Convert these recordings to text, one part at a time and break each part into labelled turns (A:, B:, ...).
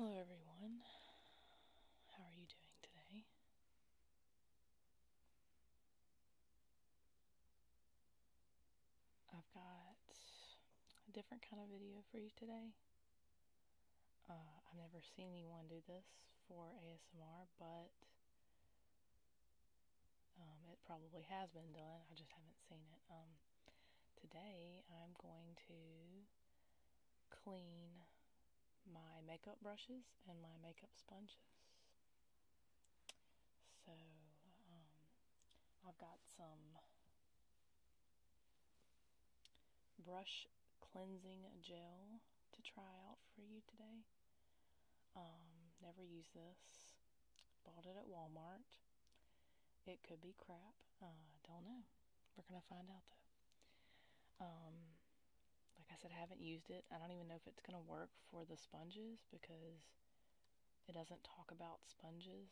A: Hello, everyone. How are you doing today? I've got a different kind of video for you today. Uh, I've never seen anyone do this for ASMR, but um, it probably has been done. I just haven't seen it. Um, today, I'm going to clean my makeup brushes and my makeup sponges. So, um, I've got some brush cleansing gel to try out for you today. Um, never used this. Bought it at Walmart. It could be crap. Uh, I don't know. We're gonna find out though. Um, like I said, I haven't used it. I don't even know if it's gonna work for the sponges because it doesn't talk about sponges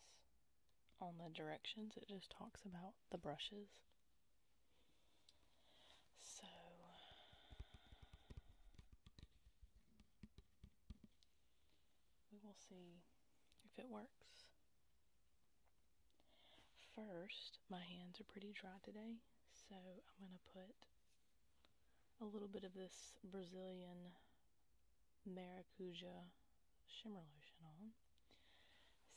A: on the directions, it just talks about the brushes. So, we will see if it works. First, my hands are pretty dry today, so I'm going to put a little bit of this Brazilian maracuja shimmer lotion on.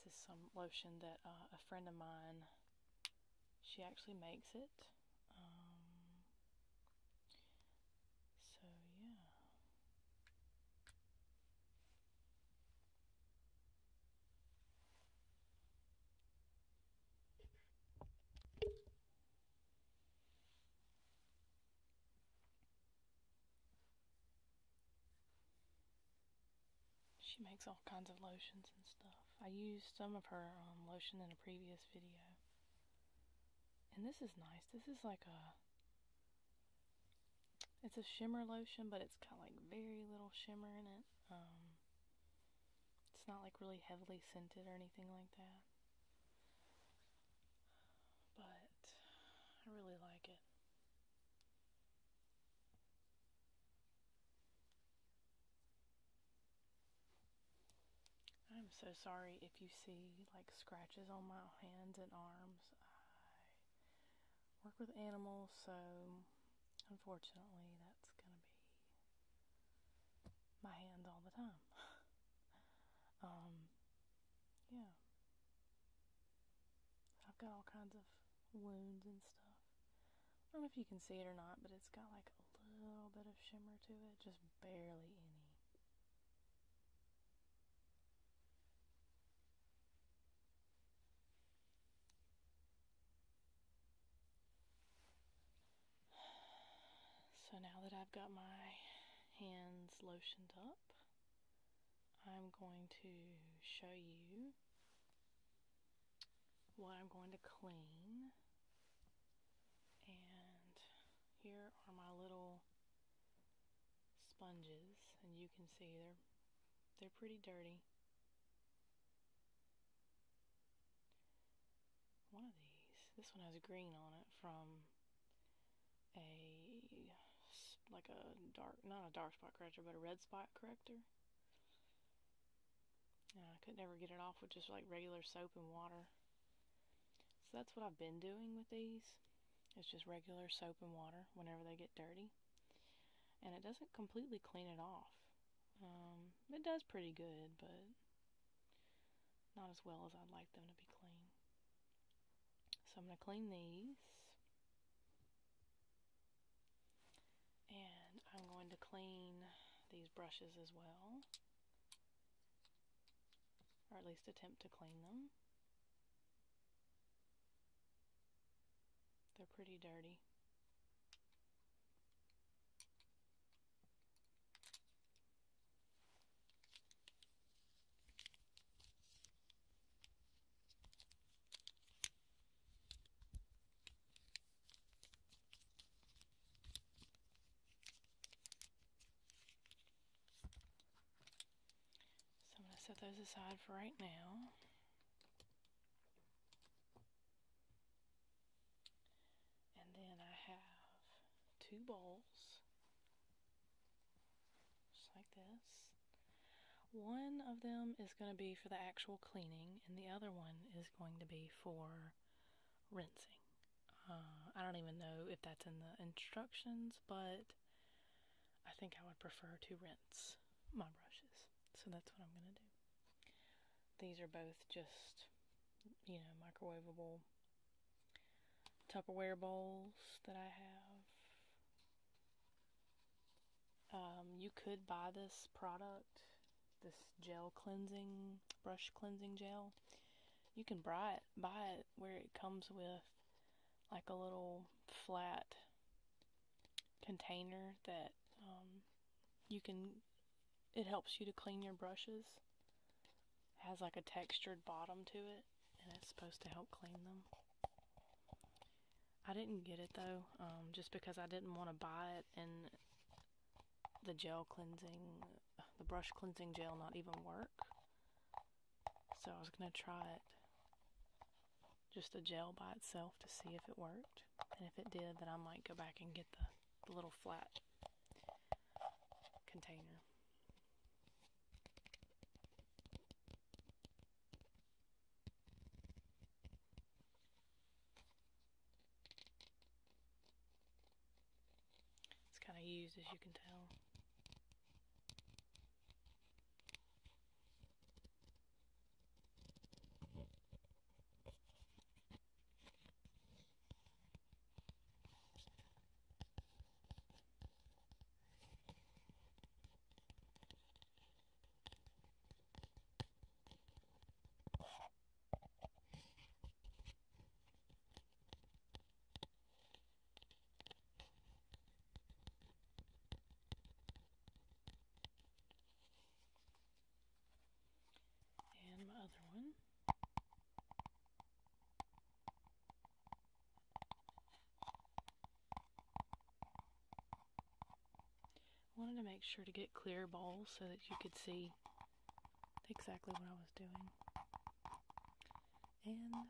A: This is some lotion that uh, a friend of mine, she actually makes it. Um, so yeah. She makes all kinds of lotions and stuff. I used some of her um, lotion in a previous video. And this is nice. This is like a... It's a shimmer lotion, but it's got like very little shimmer in it. Um, it's not like really heavily scented or anything like that. But I really like it. I'm so sorry if you see like scratches on my hands and arms. I work with animals, so unfortunately that's going to be my hands all the time. um yeah. I've got all kinds of wounds and stuff. I don't know if you can see it or not, but it's got like a little bit of shimmer to it, just barely any. So now that I've got my hands lotioned up, I'm going to show you what I'm going to clean. And here are my little sponges and you can see they're they're pretty dirty. One of these. This one has green on it from a like a dark not a dark spot corrector but a red spot corrector I could never get it off with just like regular soap and water so that's what I've been doing with these it's just regular soap and water whenever they get dirty and it doesn't completely clean it off um, it does pretty good but not as well as I'd like them to be clean so I'm going to clean these. And I'm going to clean these brushes as well. Or at least attempt to clean them. They're pretty dirty. So I'm going to set those aside for right now. And then I have two bowls, just like this. One of them is going to be for the actual cleaning, and the other one is going to be for rinsing. Uh, I don't even know if that's in the instructions, but I think I would prefer to rinse my brushes. So that's what I'm going to do. These are both just, you know, microwavable Tupperware bowls that I have. Um, you could buy this product, this gel cleansing, brush cleansing gel. You can buy it, buy it where it comes with like a little flat container that um, you can, it helps you to clean your brushes. has like a textured bottom to it and it's supposed to help clean them. I didn't get it though, um, just because I didn't want to buy it and the gel cleansing, the brush cleansing gel not even work. So I was going to try it, just a gel by itself to see if it worked. And if it did, then I might go back and get the little flat container. It's kind of used as you can tell. And my other one. I wanted to make sure to get clear bowls so that you could see exactly what I was doing. And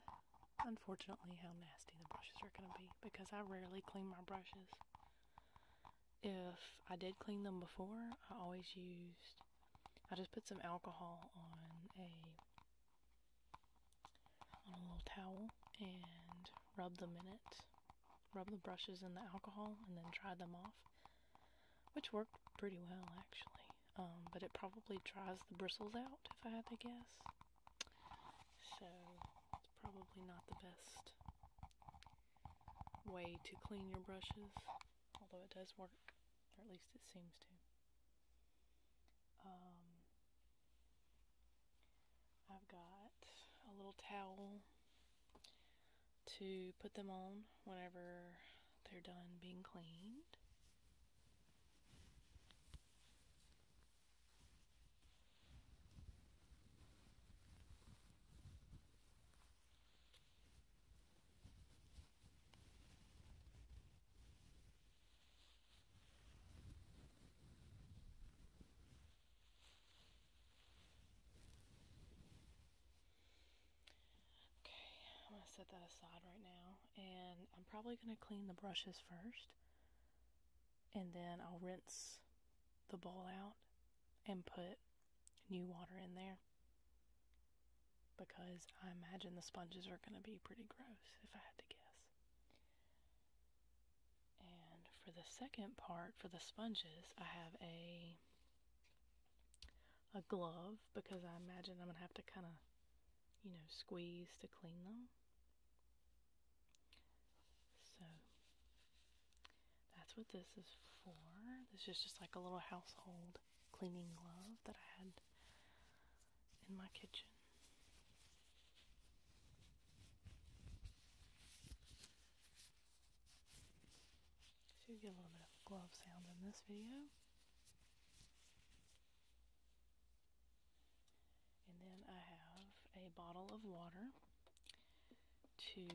A: unfortunately how nasty the brushes are going to be because I rarely clean my brushes. If I did clean them before, I always used, I just put some alcohol on a on a little towel and rub them in it. Rub the brushes in the alcohol and then dry them off, which worked pretty well actually. Um, but it probably dries the bristles out if I had to guess. So it's probably not the best way to clean your brushes, although it does work, or at least it seems to. Um, I've got a little towel to put them on whenever they're done being cleaned. Okay, I'm going to set that aside right now. And I'm probably going to clean the brushes first. And then I'll rinse the bowl out and put new water in there. Because I imagine the sponges are going to be pretty gross, if I had to guess. And for the second part, for the sponges, I have a a glove because I imagine I'm going to have to kind of, you know, squeeze to clean them. So that's what this is for. This is just like a little household cleaning glove that I had in my kitchen. So get a little bit of glove sound in this video. And then I have a bottle of water to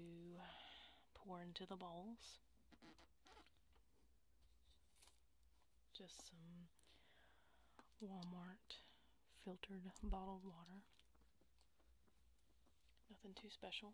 A: pour into the bowls just some Walmart filtered bottled water. Nothing too special.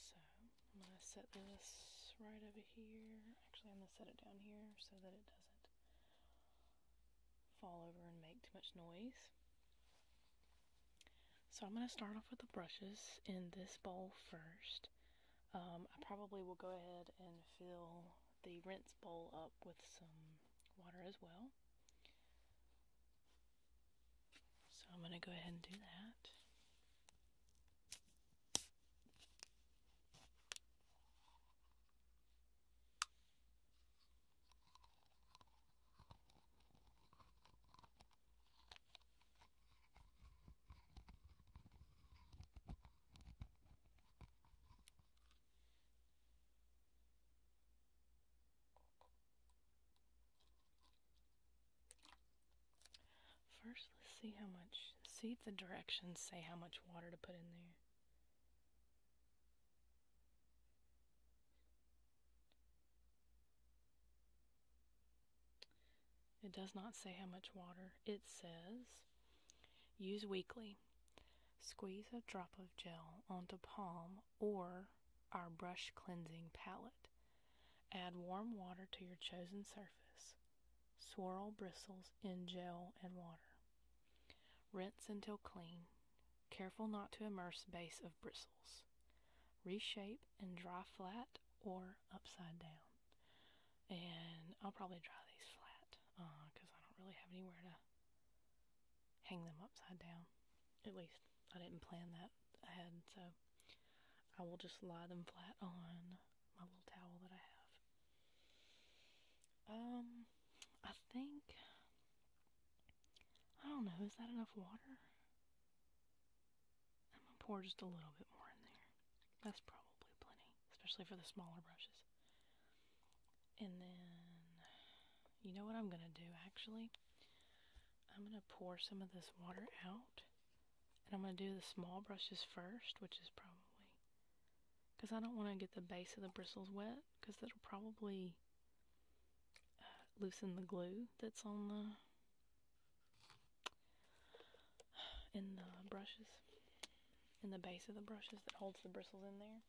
A: So I'm going to set this right over here. Actually, I'm going to set it down here so that it doesn't fall over and make too much noise. So I'm going to start off with the brushes in this bowl first. Um, I probably will go ahead and fill the rinse bowl up with some water as well. So I'm going to go ahead and do that. First, let's see how much, see if the directions say how much water to put in there. It does not say how much water. It says use weekly. Squeeze a drop of gel onto palm or our brush cleansing palette. Add warm water to your chosen surface. Swirl bristles in gel and water. Rinse until clean. Careful not to immerse base of bristles. Reshape and dry flat or upside down. And I'll probably dry these flat because uh, I don't really have anywhere to hang them upside down. At least I didn't plan that ahead, so I will just lie them flat on my little towel that I have. Um, I think. I don't know, is that enough water? I'm gonna pour just a little bit more in there. That's probably plenty, especially for the smaller brushes. And then you know what I'm going to do actually? I'm going to pour some of this water out. And I'm going to do the small brushes first, which is probably because I don't want to get the base of the bristles wet because that'll probably uh, loosen the glue that's on the in the brushes in the base of the brushes that holds the bristles in there.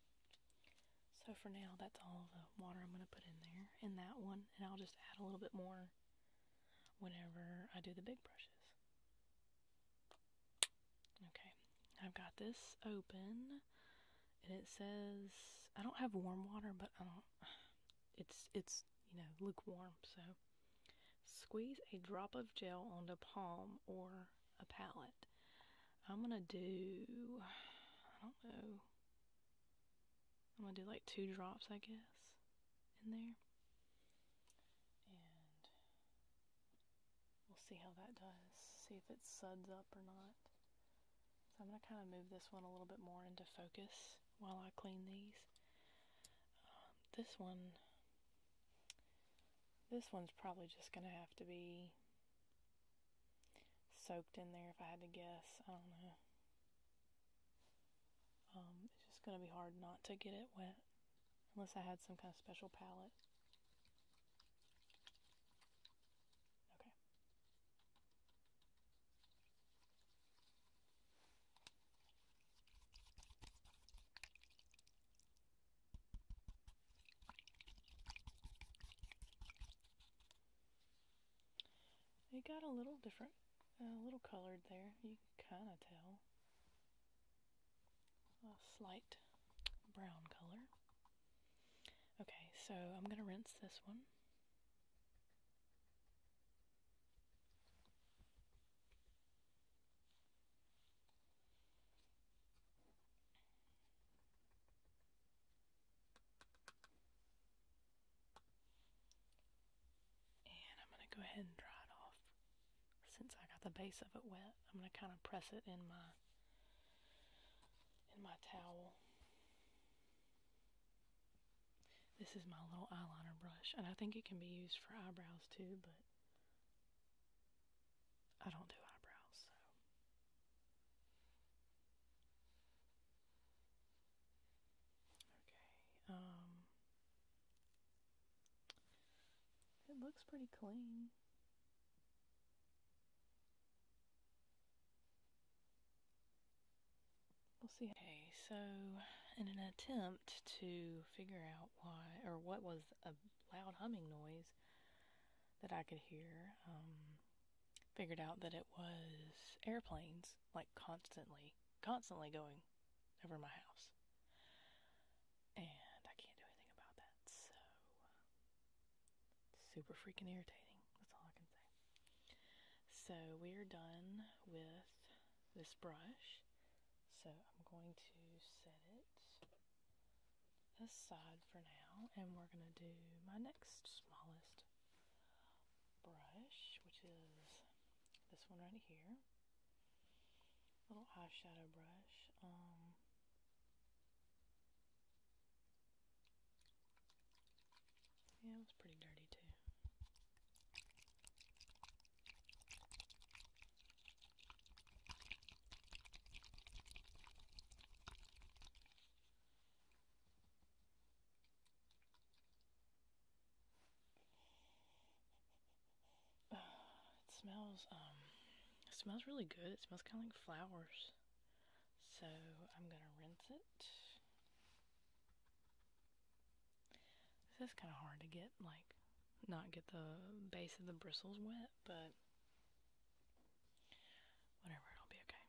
A: So for now, that's all the water I'm going to put in there in that one, and I'll just add a little bit more whenever I do the big brushes. Okay, I've got this open, and it says I don't have warm water, but I don't. It's it's you know lukewarm, so squeeze a drop of gel onto palm or a palette. I'm gonna do I don't know I'm gonna do like two drops, I guess, in there. And we'll see how that does. See if it suds up or not. So I'm gonna kind of move this one a little bit more into focus while I clean these. Um, this one, this one's probably just gonna have to be soaked in there if I had to guess. I don't know. Um, it's just going to be hard not to get it wet unless I had some kind of special palette. Okay. It got a little different, a little colored there. You can kind of tell. A slight brown color. Okay, so I'm going to rinse this one. And I'm going to go ahead and dry it off. Since I got the base of it wet, I'm going to kind of press it in my in my towel. This is my little eyeliner brush, and I think it can be used for eyebrows too, but I don't do eyebrows, so Okay, um, it looks pretty clean. We'll see. Okay, so in an attempt to figure out why or what was a loud humming noise that I could hear, um, figured out that it was airplanes, like constantly, constantly going over my house. And I can't do anything about that, so uh, super freaking irritating. That's all I can say. So we're done with this brush. So I'm going to set it aside for now and we're going to do my next smallest brush, which is this one right here. Little eyeshadow brush. Um, yeah, it was pretty dirty too. It smells, um, it smells really good. It smells kind of like flowers. So I'm going to rinse it. This is kind of hard to get, like, not get the base of the bristles wet, but whatever, it'll be okay.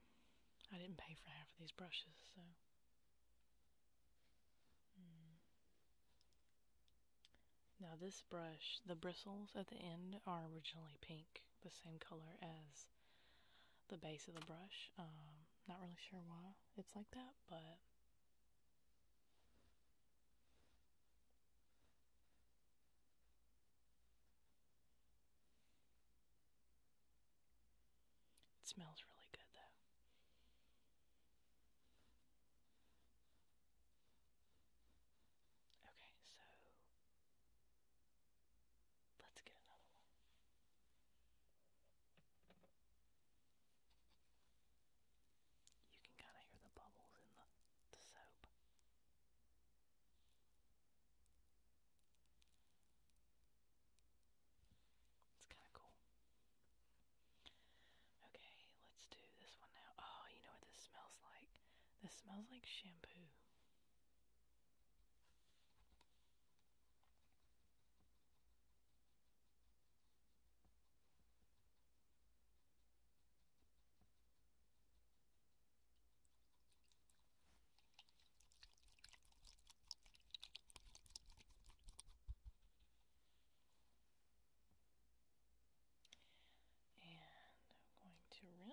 A: I didn't pay for half of these brushes, so. Hmm. Now, this brush, the bristles at the end are originally pink, the same color as the base of the brush. Um, not really sure why it's like that, but. It smells really good though. Okay, so let's get another one. You can kind of hear the bubbles in the, soap. It's kind of cool. Okay, let's do this one now. Oh, you know what this smells like? This smells like shampoo. And I'm going to rinse. And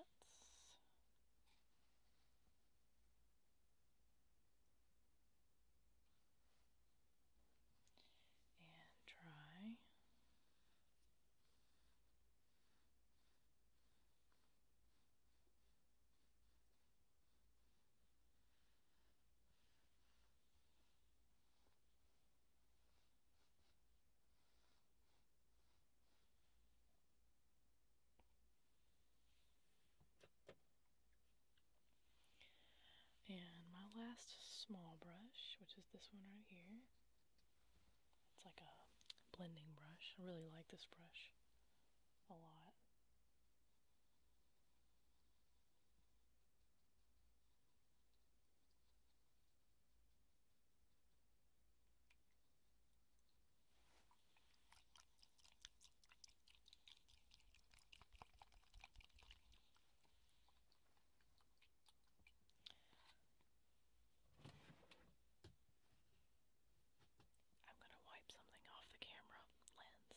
A: dry. And my last small brush, which is this one right here, it's like a blending brush. I really like this brush a lot. I'm going to wipe something off the camera lens.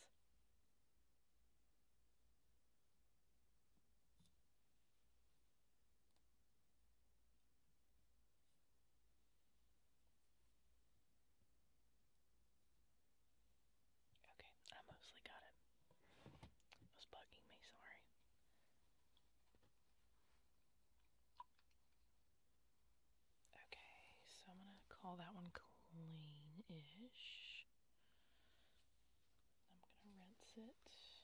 A: Okay, I mostly got it. was bugging me, sorry. Okay, so I'm gonna call that one clean-ish. I'm gonna rinse it.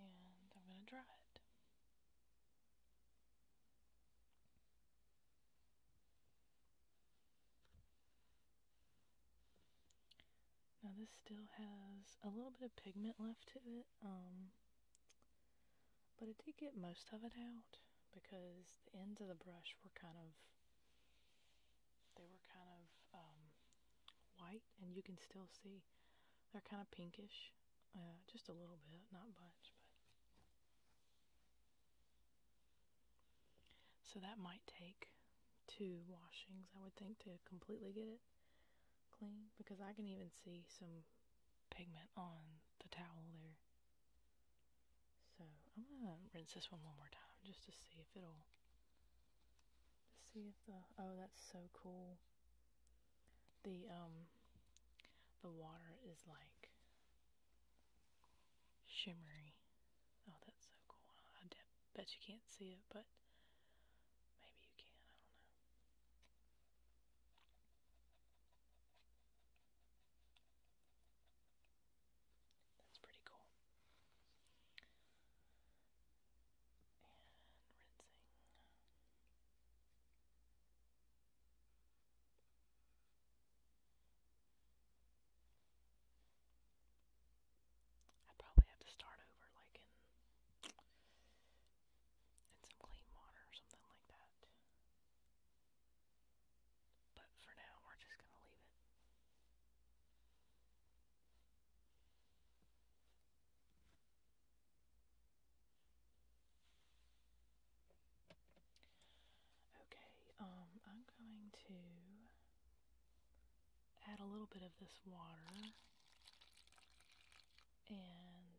A: And I'm gonna dry it. Now this still has a little bit of pigment left to it, um, but I did get most of it out because the ends of the brush were kind of, they were kind of um, white and you can still see they're kind of pinkish, uh, just a little bit, not much, but so that might take two washings, I would think, to completely get it clean because I can even see some pigment on the towel there. So I'm gonna rinse this one one more time just to see if it'll just see if the oh that's so cool. The um the water is like shimmery. Oh that's so cool bet you can't see it, but maybe you can, I don't know. That's pretty cool i probably have to start over, like in in some clean water or something like that. But for now, we're just gonna leave it. Okay, um, I'm going to add a little bit of this water and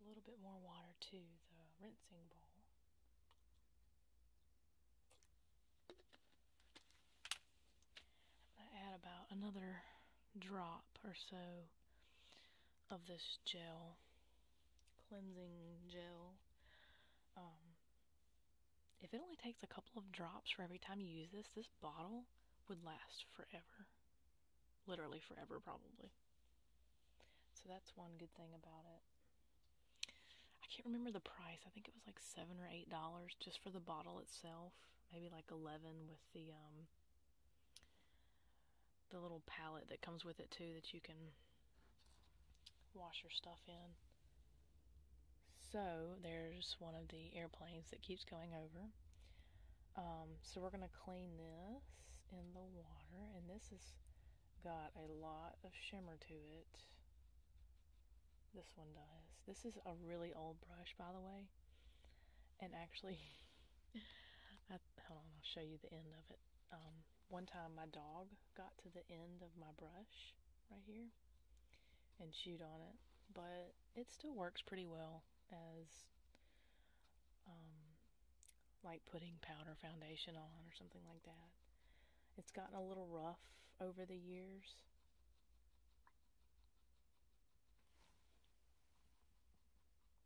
A: a little bit more water to the rinsing bowl. add about another drop or so of this gel, cleansing gel. Um, if it only takes a couple of drops for every time you use this, this bottle would last forever. Literally forever, probably. So that's one good thing about it. I can't remember the price. I think it was like seven or eight dollars just for the bottle itself. Maybe like eleven with the um the little palette that comes with it too that you can wash your stuff in. So there's one of the airplanes that keeps going over. Um, so we're going to clean this in the water. And this has got a lot of shimmer to it. This one does. This is a really old brush, by the way. And actually, I, hold on, I'll show you the end of it. Um, one time my dog got to the end of my brush right here and shoot on it, but it still works pretty well as um, like putting powder foundation on or something like that. It's gotten a little rough over the years.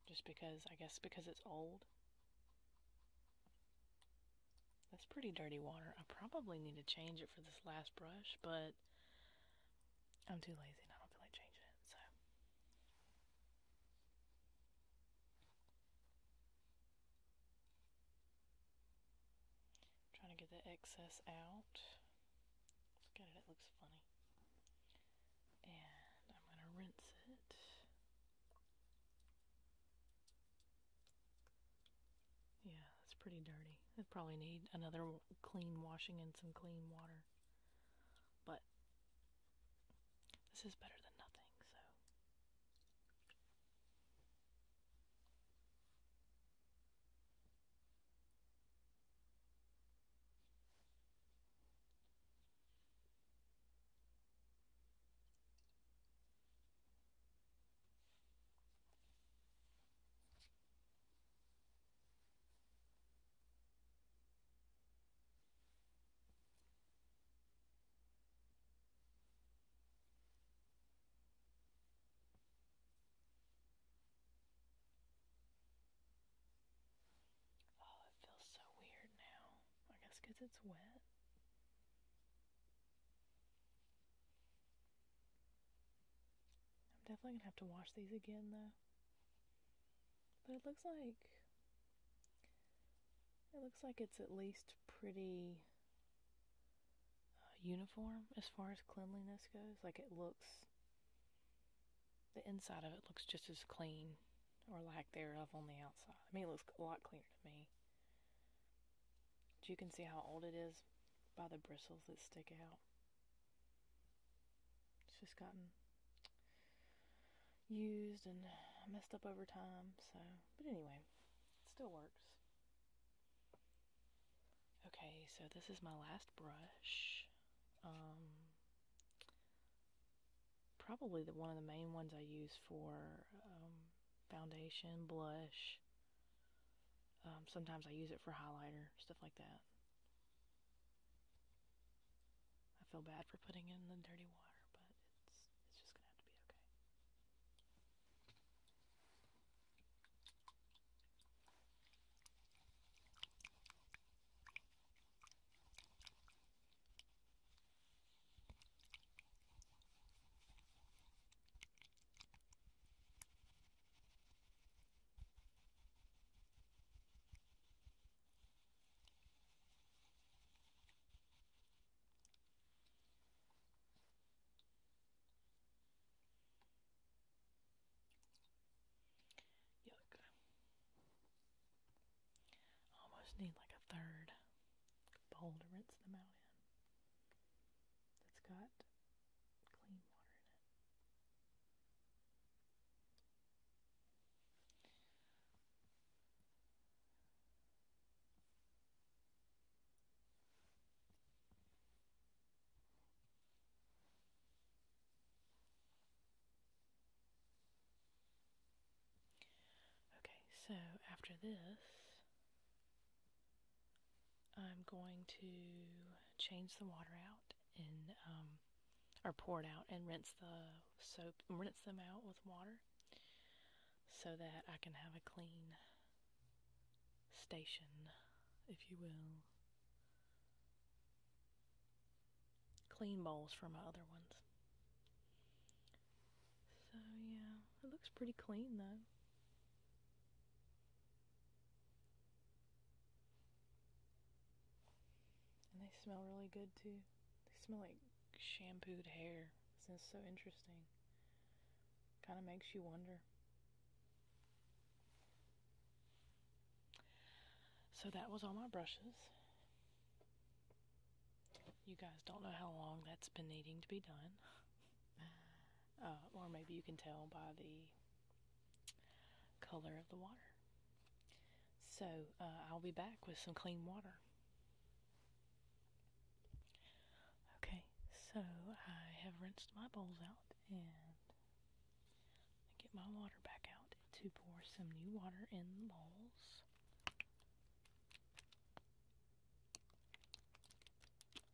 A: Just because, I guess, because it's old. That's pretty dirty water. I probably need to change it for this last brush, but I'm too lazy and I don't feel like changing it, so. I'm trying to get the excess out. Look at it, it looks funny. And I'm going to rinse it. Yeah, it's pretty dirty. It probably need another clean washing and some clean water. But this is better than nothing, so. Oh, it feels so weird now. I guess because it's wet. I'm definitely gonna have to wash these again though. But it looks like it looks like it's at least pretty uh, uniform as far as cleanliness goes. Like it looks the inside of it looks just as clean or lack thereof on the outside. I mean, it looks a lot cleaner to me. You can see how old it is by the bristles that stick out. It's just gotten used and messed up over time, so, but anyway, it still works. Okay, so this is my last brush. Um, probably the one of the main ones I use for um, foundation, blush, um, sometimes I use it for highlighter, stuff like that. I feel bad for putting in the dirty water, but it's it's just gonna have to be okay. Yuck. I almost need like a third bowl to rinse them out in. That's good clean water in it. Okay, so after this, I'm going to change the water out and um, or pour it out and rinse the soap, rinse them out with water so that I can have a clean station, if you will. Clean bowls for my other ones. So, yeah, it looks pretty clean though. And they smell really good too. They smell like shampooed hair. This is so interesting. Kind of makes you wonder. So that was all my brushes. You guys don't know how long that's been needing to be done. Uh, or maybe you can tell by the color of the water. So uh, I'll be back with some clean water. Okay, so I have rinsed my bowls out and get my water back out to pour some new water in the bowls.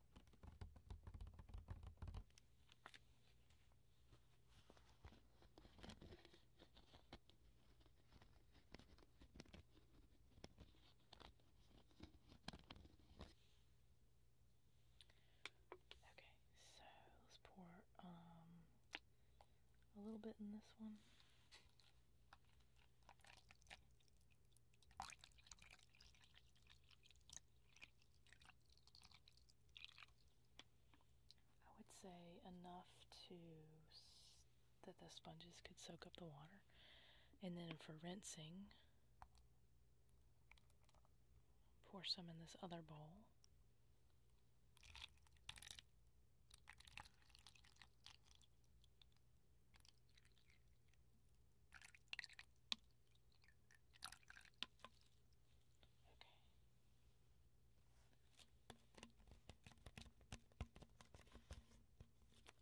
A: Okay, so let's pour um, a little bit in this one. I would say enough to that the sponges could soak up the water. And then for rinsing, pour some in this other bowl.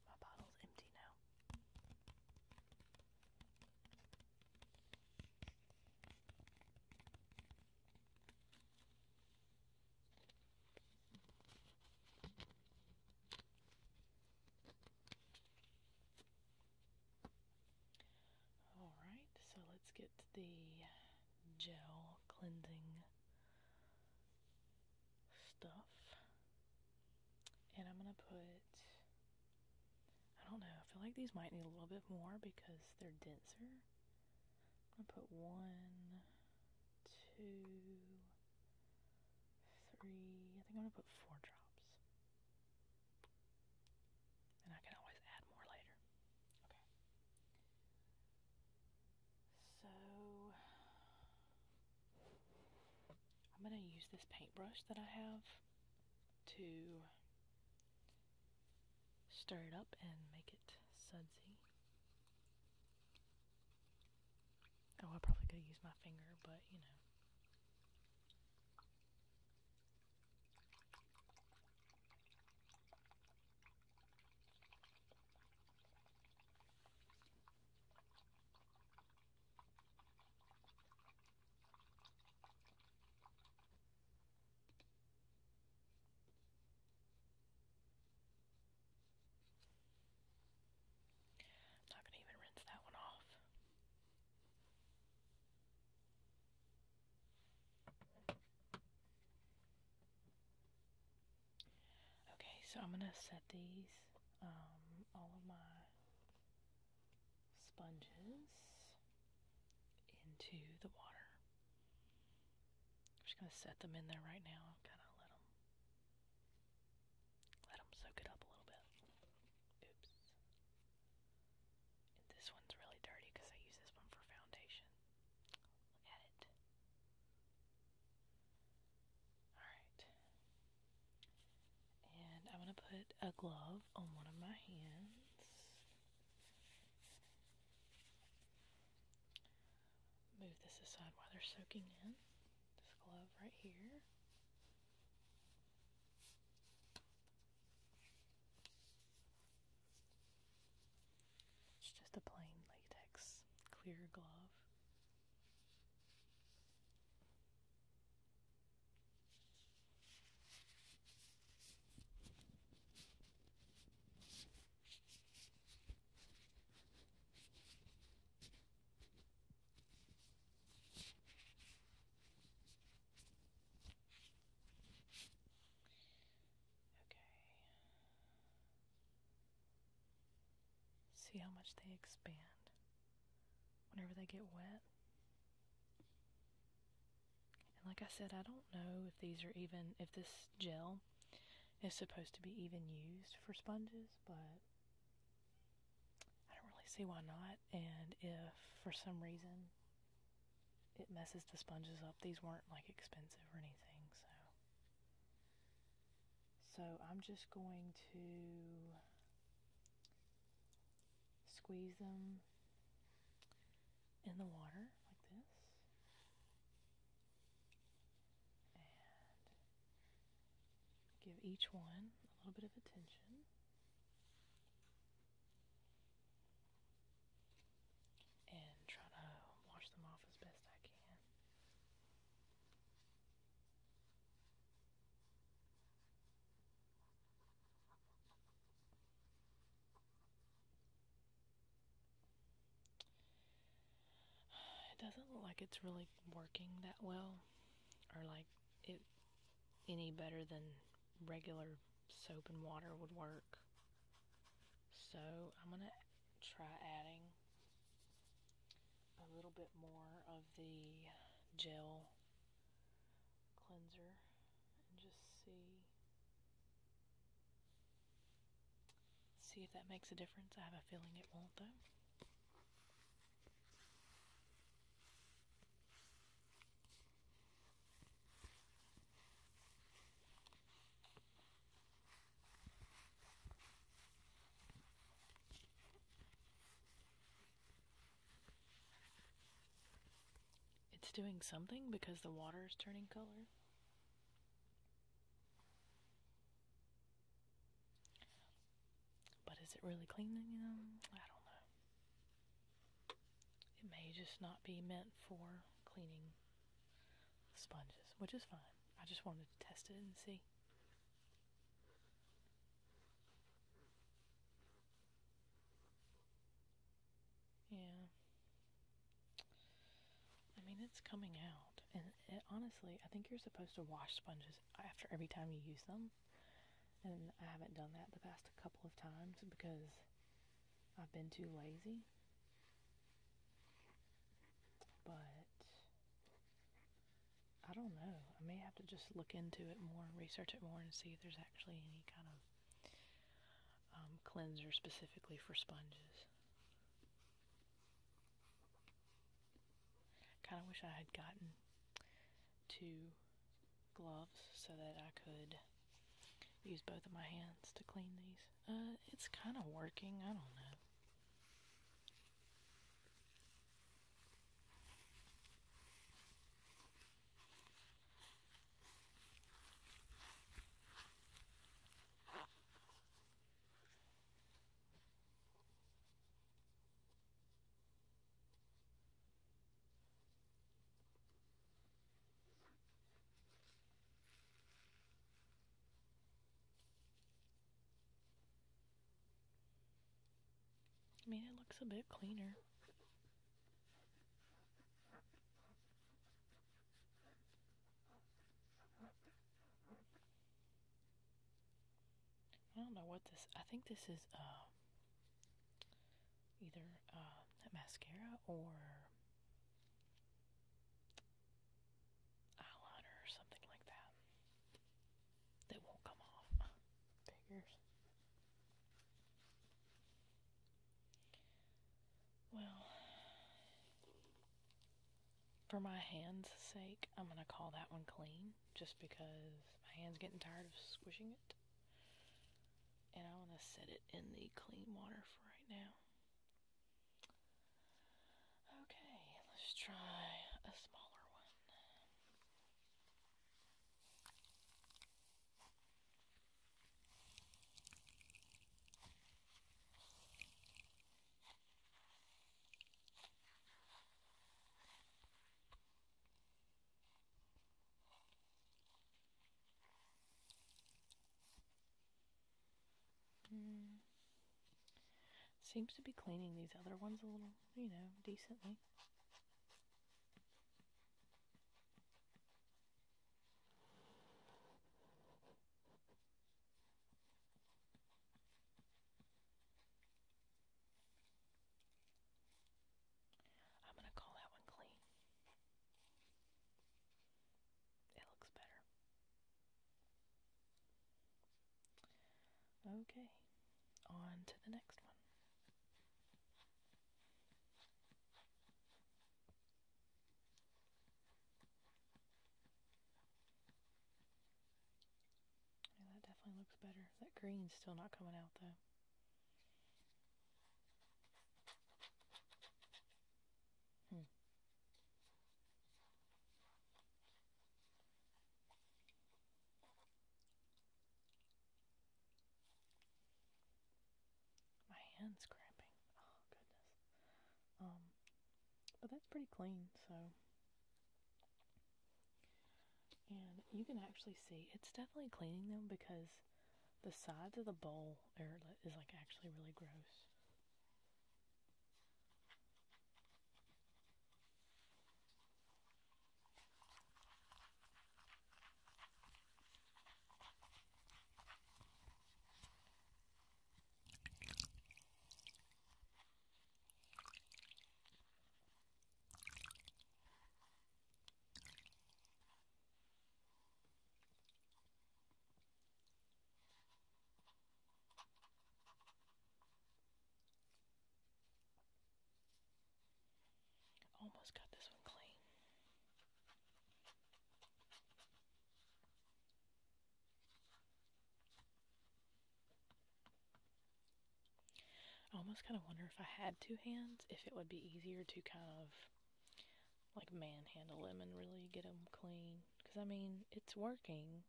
A: My bottle's empty now. Alright, so let's get the gel cleansing stuff. And I'm going to put, I don't know, I feel like these might need a little bit more because they're denser. I'm going to put one, two, three, I think I'm going to put four drops. And I can always add more later. Okay. So, I'm going to use this paintbrush that I have to stir it up and make it sudsy. Oh, I probably could have used my finger, but you know. I'm not going to even rinse that one off. Okay, so I'm going to set these, um, all of my sponges into the water. I'm just going to set them in there right now. Kind of let them let them soak it up a little bit. Oops. this one's really dirty because I use this one for foundation. Look at it. Alright. And I'm going to put a glove on one of my hands. Move this aside while they're soaking in. This glove right here. It's just a plain latex clear glove. Okay. See how much they expand whenever they get wet. And like I said, I don't know if these are even, if this gel is supposed to be even used for sponges, but I don't really see why not. And if for some reason it messes the sponges up, these weren't like expensive or anything, so. So I'm just going to squeeze them in the water like this. Give each one a little bit of attention. And try to wash them off as best I can. It doesn't look like it's really working that well, or like it any better than regular soap and water would work. So I'm going to try adding a little bit more of the gel cleanser and just see see if that makes a difference. I have a feeling it won't though. It's doing something because the water is turning color. But is it really cleaning them? I don't know. It may just not be meant for cleaning sponges, which is fine. I just wanted to test it and see. Yeah. I mean, it's coming out. And honestly, I think you're supposed to wash sponges after every time you use them and I haven't done that the past couple of times because I've been too lazy. But I don't know. I may have to just look into it more and research it more and see if there's actually any kind of um, cleanser specifically for sponges. Kind of wish I had gotten two gloves so that I could use both of my hands to clean these. Uh, it's kind of working. I don't know. I mean, it looks a bit cleaner. I don't know what this. I think this is um, either uh, mascara or eyeliner or something like that. That won't come off. Well, for my hands' sake, I'm gonna call that one clean just because my hand's getting tired of squishing it. And I want to set it in the clean water for right now. Okay, let's try a smaller one. Mm. Seems to be cleaning these other ones a little, you know, decently. I'm going to call that one clean. It looks better. Okay, on to the next one that definitely looks better. That green's still not coming out though. Hmm. My hand's cramping. Oh goodness. Um, but that's pretty clean, so and you can actually see it's definitely cleaning them because the sides of the bowl airlet is like actually really gross. Almost got this one clean. I almost kind of wonder if I had two hands, if it would be easier to kind of like manhandle them and really get them clean. Because I mean, it's working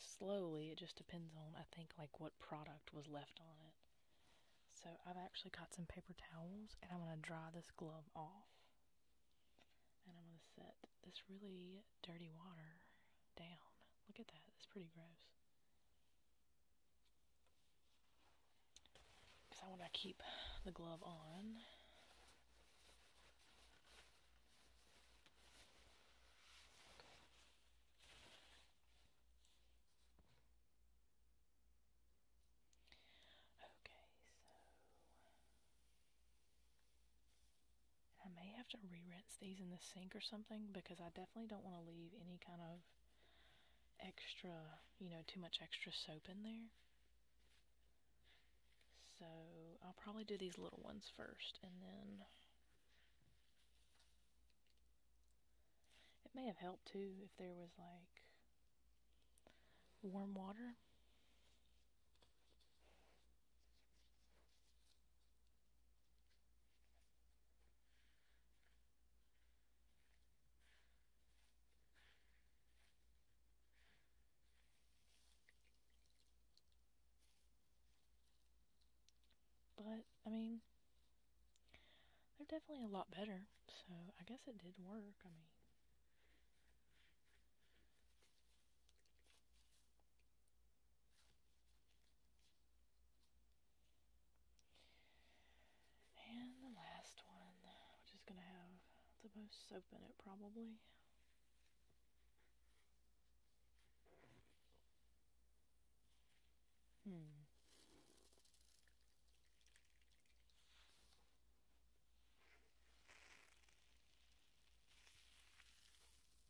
A: slowly. It just depends on, I think, like what product was left on it. So I've actually got some paper towels and I'm going to dry this glove off. And I'm going to set this really dirty water down. Look at that. It's pretty gross. Because I want to keep the glove on. Okay, so I may have to re-rinse these in the sink or something because I definitely don't want to leave any kind of extra, you know, too much extra soap in there. So I'll probably do these little ones first and then it may have helped too if there was like warm water but, I mean, they're definitely a lot better, so I guess it did work. I mean, and the last one, which is going to have the most soap in it probably. Hmm.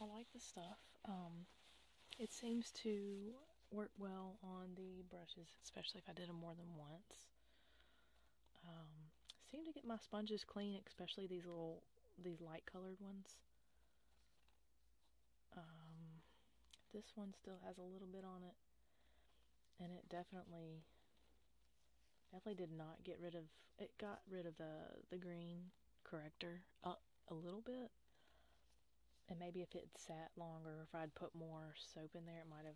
A: I like the stuff. Um, it seems to work well on the brushes, especially if I did them more than once. Um, seem to get my sponges clean, especially these little, these light colored ones. Um, this one still has a little bit on it, and it definitely, definitely did not get rid of, it got rid of the, the green corrector up a little bit. And maybe if it sat longer, if I'd put more soap in there, it might have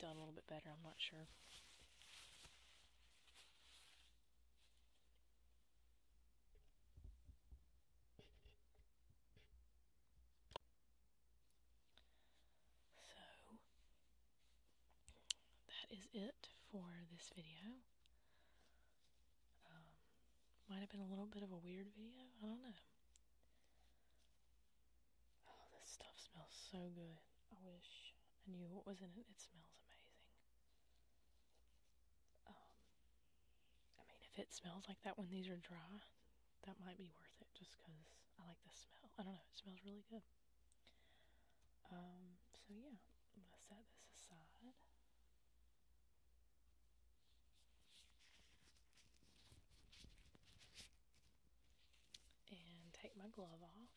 A: done a little bit better. I'm not sure. So, that is it for this video. Um, might have been a little bit of a weird video. I don't know. Oh, this stuff smells so good. I wish I knew what was in it. It smells amazing. Um, I mean, if it smells like that when these are dry, that might be worth it just because I like the smell. I don't know. It smells really good. Um, so yeah, I'm gonna set this aside. And take my glove off.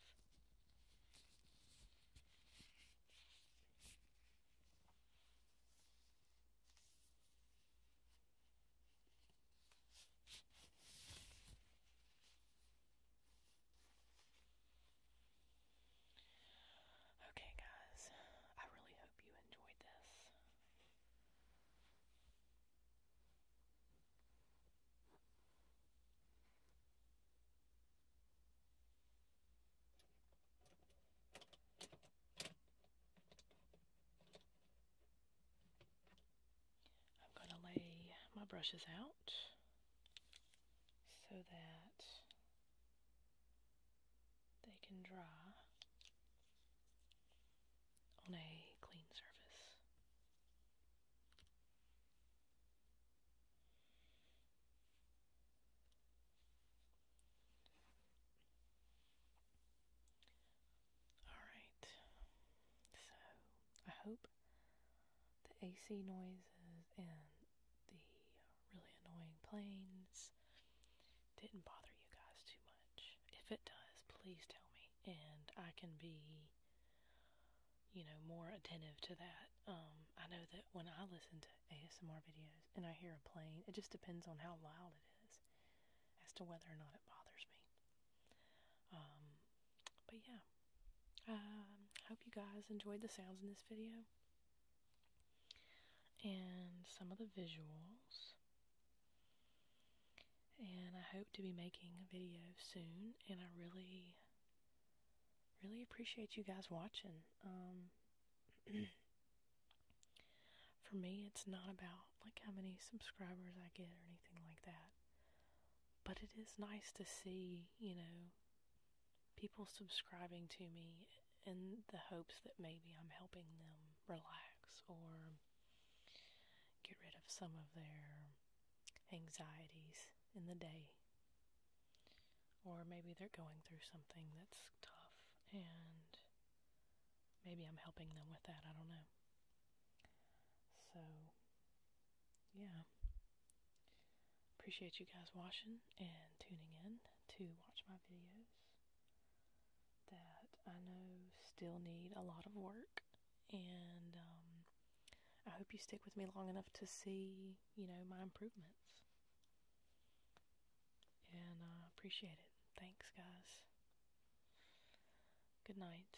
A: Okay, guys, I really hope you enjoyed this. I'm going to lay my brushes out so that they can draw on a clean surface. All right. So, I hope the AC noises and the really annoying planes didn't bother you guys too much. If it does, please tell me, and I can be, you know, more attentive to that. Um, I know that when I listen to ASMR videos and I hear a plane, it just depends on how loud it is as to whether or not it bothers me. Um, but yeah. I um, hope you guys enjoyed the sounds in this video and some of the visuals. And I hope to be making a video soon. And I really, really appreciate you guys watching. Um, for me, it's not about like how many subscribers I get or anything like that. But it is nice to see, you know, people subscribing to me in the hopes that maybe I'm helping them relax or get rid of some of their anxieties in the day. Or maybe they're going through something that's tough and maybe I'm helping them with that. I don't know. So yeah, appreciate you guys watching and tuning in to watch my videos that I know still need a lot of work. And um, I hope you stick with me long enough to see, you know, my improvements. And uh, appreciate it. Thanks, guys. Good night.